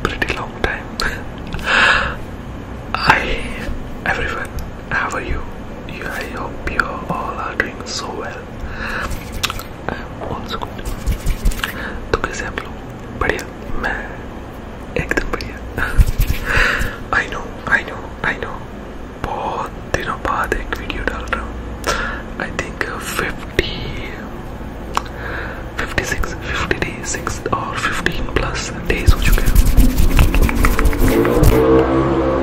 Pretty long time. I everyone how are you? I hope you all are doing so well. I am also good. तो कैसे बढ़िया. मैं एकदम बढ़िया. I know, I know, I know. बहुत दिनों बाद एक वीडियो डाल रहा हूँ. I think 50, 56, 56 15 plus days हो चुके हैं.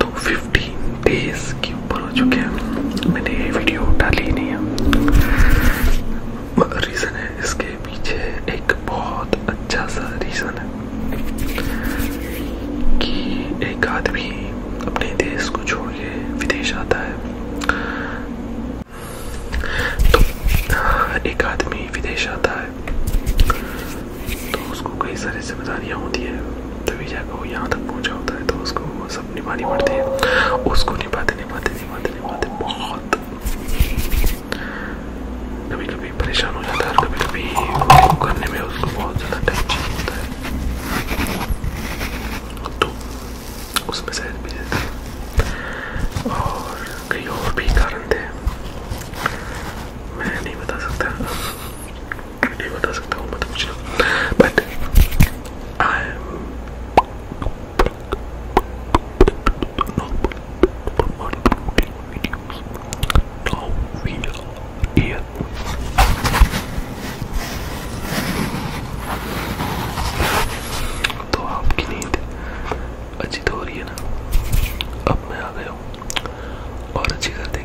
तो 15 डेज के ऊपर हो चुके हैं मैंने ये वीडियो डाली नहीं है रीज़न है इसके पीछे एक बहुत अच्छा सा रीज़न है कि एक आदमी अपने देश को छोड़ के विदेश आता है तो एक आदमी विदेश आता है तो उसको कई सारी जिम्मेदारियाँ होती है तभी जाकर वो यहाँ तक पहुँचा होता है तो उसको वो सब निभानी पड़ती है उसको निभाते निभाते निभाते निभाते बहुत कभी कभी परेशान हो जाता है कभी कभी करने में उसको बहुत ज़्यादा टाइम चाहिए होता है तो उसमें शायद भी थे और कई और भी कारण थे मैं नहीं बता सकता नहीं बता सकता हूँ मत पूछना but I Now we are here. तो आपकी नींद अजीत तो हो रही है ना अब मैं आ गया हूँ और अच्छी कर देंगे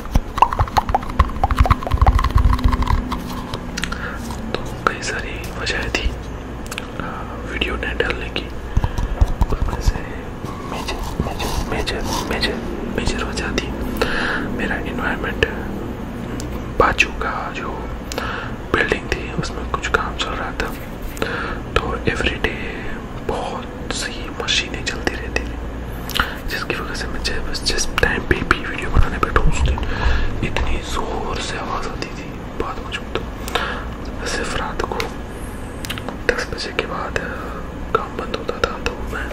तो कई सारी वजह थी वीडियो न डालने की उसमें से मेजर मेजर मेजर मेजर वजह थी मेरा इन्वायरमेंट बाजू का जो बिल्डिंग थी उसमें कुछ काम चल रहा था तो एवरीडे बहुत सी मशीनें चलती रहती थी जिसकी वजह से मैं बस जिस टाइम पे भी वीडियो बनाने बैठा उस दिन इतनी ज़ोर से आवाज़ आती थी बात मौजूद सिर्फ रात को दस बजे के बाद काम बंद होता था तो मैं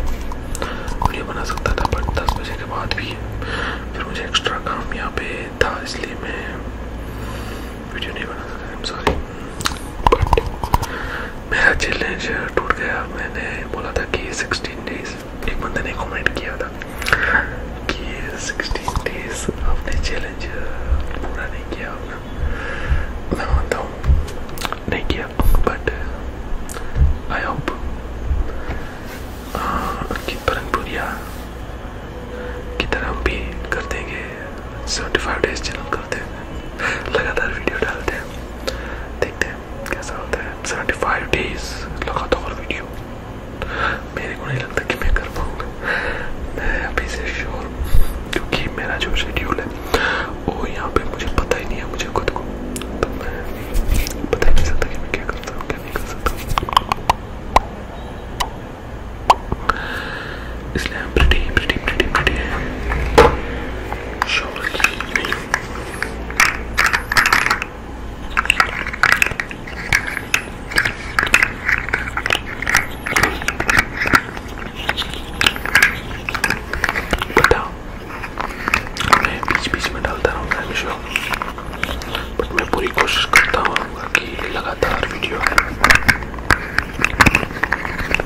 वीडियो बना सकता था बट दस बजे के बाद भी फिर मुझे एक्स्ट्रा काम यहाँ पे था इसलिए मैं वीडियो नहीं बना सकता सॉरी बट मेरा चैलेंज टूट गया मैंने बोला था कि सिक्सटीन डेज एक बंदे ने कमेंट आपने चैलेंज पूरा नहीं किया बट आई होप की तरह हम भी कर देंगे सेवेंटी फाइव डेज चैनल करते हैं लगातार वीडियो डालते हैं देखते हैं कैसा होता है सेवेंटी फाइव डेज लगातार वीडियो मेरे को नहीं लगता कि मैं कर पाऊँगा मैं अभी से श्योर क्योंकि मेरा जो शेड्यूल है वो यहाँ पे मुझे पता ही नहीं है मुझे खुद को तो मैं पता ही नहीं सकता कि मैं क्या करता हूँ क्या नहीं कर सकता इसलिए हम pretty pretty pretty pretty shawl बताओ मैं बीच बीच में डालता रहूँगा हमेशा बट मैं पूरी कोशिश करता हूँ कि लगातार वीडियो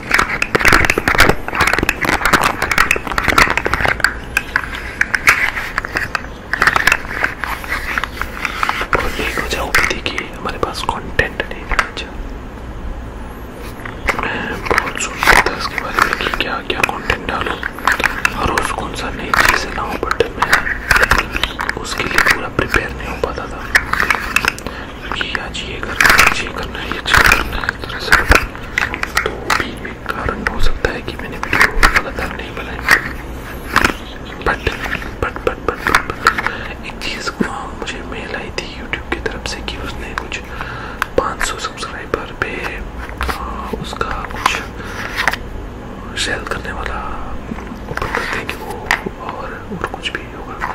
और एक वजह होगी थी कि हमारे पास कंटेंट नहीं था अच्छा मैं बहुत सोचता था इसके बारे में कि क्या क्या कंटेंट डालूं और उस कौन सा नई चीज़ें लाऊं बट मैं उसके लिए पूरा प्रिपेयर नहीं हो पाता था कि आज ये करना है आज ये करना है ये चीज़ करना है इस तरह से तो भी एक कारण हो सकता है कि मैंने वीडियो गलत नहीं बनाई but but but but but एक चीज़ वहाँ मुझे मेल आई थी यूट्यूब की तरफ से कि उसने कुछ 500 सब्सक्राइबर पे आ, उसका कुछ सेल करने वाला ओपन करते हैं कि वो और और कुछ भी होगा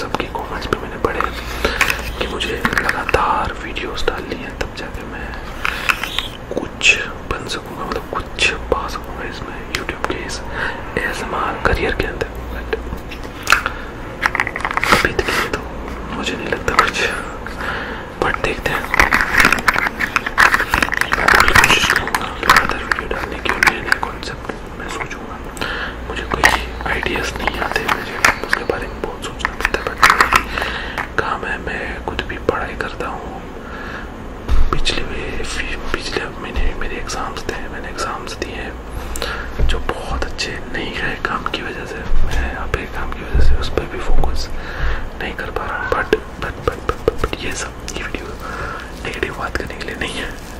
सबके कमेंट्स भी मैंने पढ़े कि मुझे लगातार वीडियोस डालनी है तब जाके मैं कुछ बन सकूँगा मतलब कुछ पा सकूँगा इसमें यूट्यूब के इस एसएमआर करियर के अंदर बट अभी तक तो मुझे नहीं लगता कुछ बट देखते हैं कोशिश करूँगा लगातार वीडियो डालने के नए नए कॉन्सेप्ट मैं सोचूंगा मुझे कोई आइडियाज़ नहीं आते मुझे उसके बारे में बहुत सोचना पड़ता है बट काम है मैं खुद भी पढ़ाई करता हूँ पिछले पिछले महीने मेरे एग्ज़ाम्स थे मैंने एग्ज़ाम्स दिए हैं जो बहुत अच्छे नहीं गए काम की वजह से मैं अपने काम की वजह से उस पर भी फोकस नहीं कर पा रहा हूँ but but but but but ये सब ये वीडियो नेगेटिव बात करने के लिए नहीं है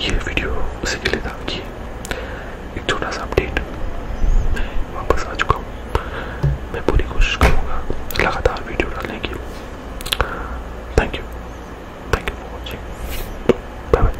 ये वीडियो उसी के लिए था कि एक छोटा सा अपडेट मैं वापस आ चुका हूँ मैं पूरी कोशिश करूँगा लगातार वीडियो डालने की thank you thank you for watching bye bye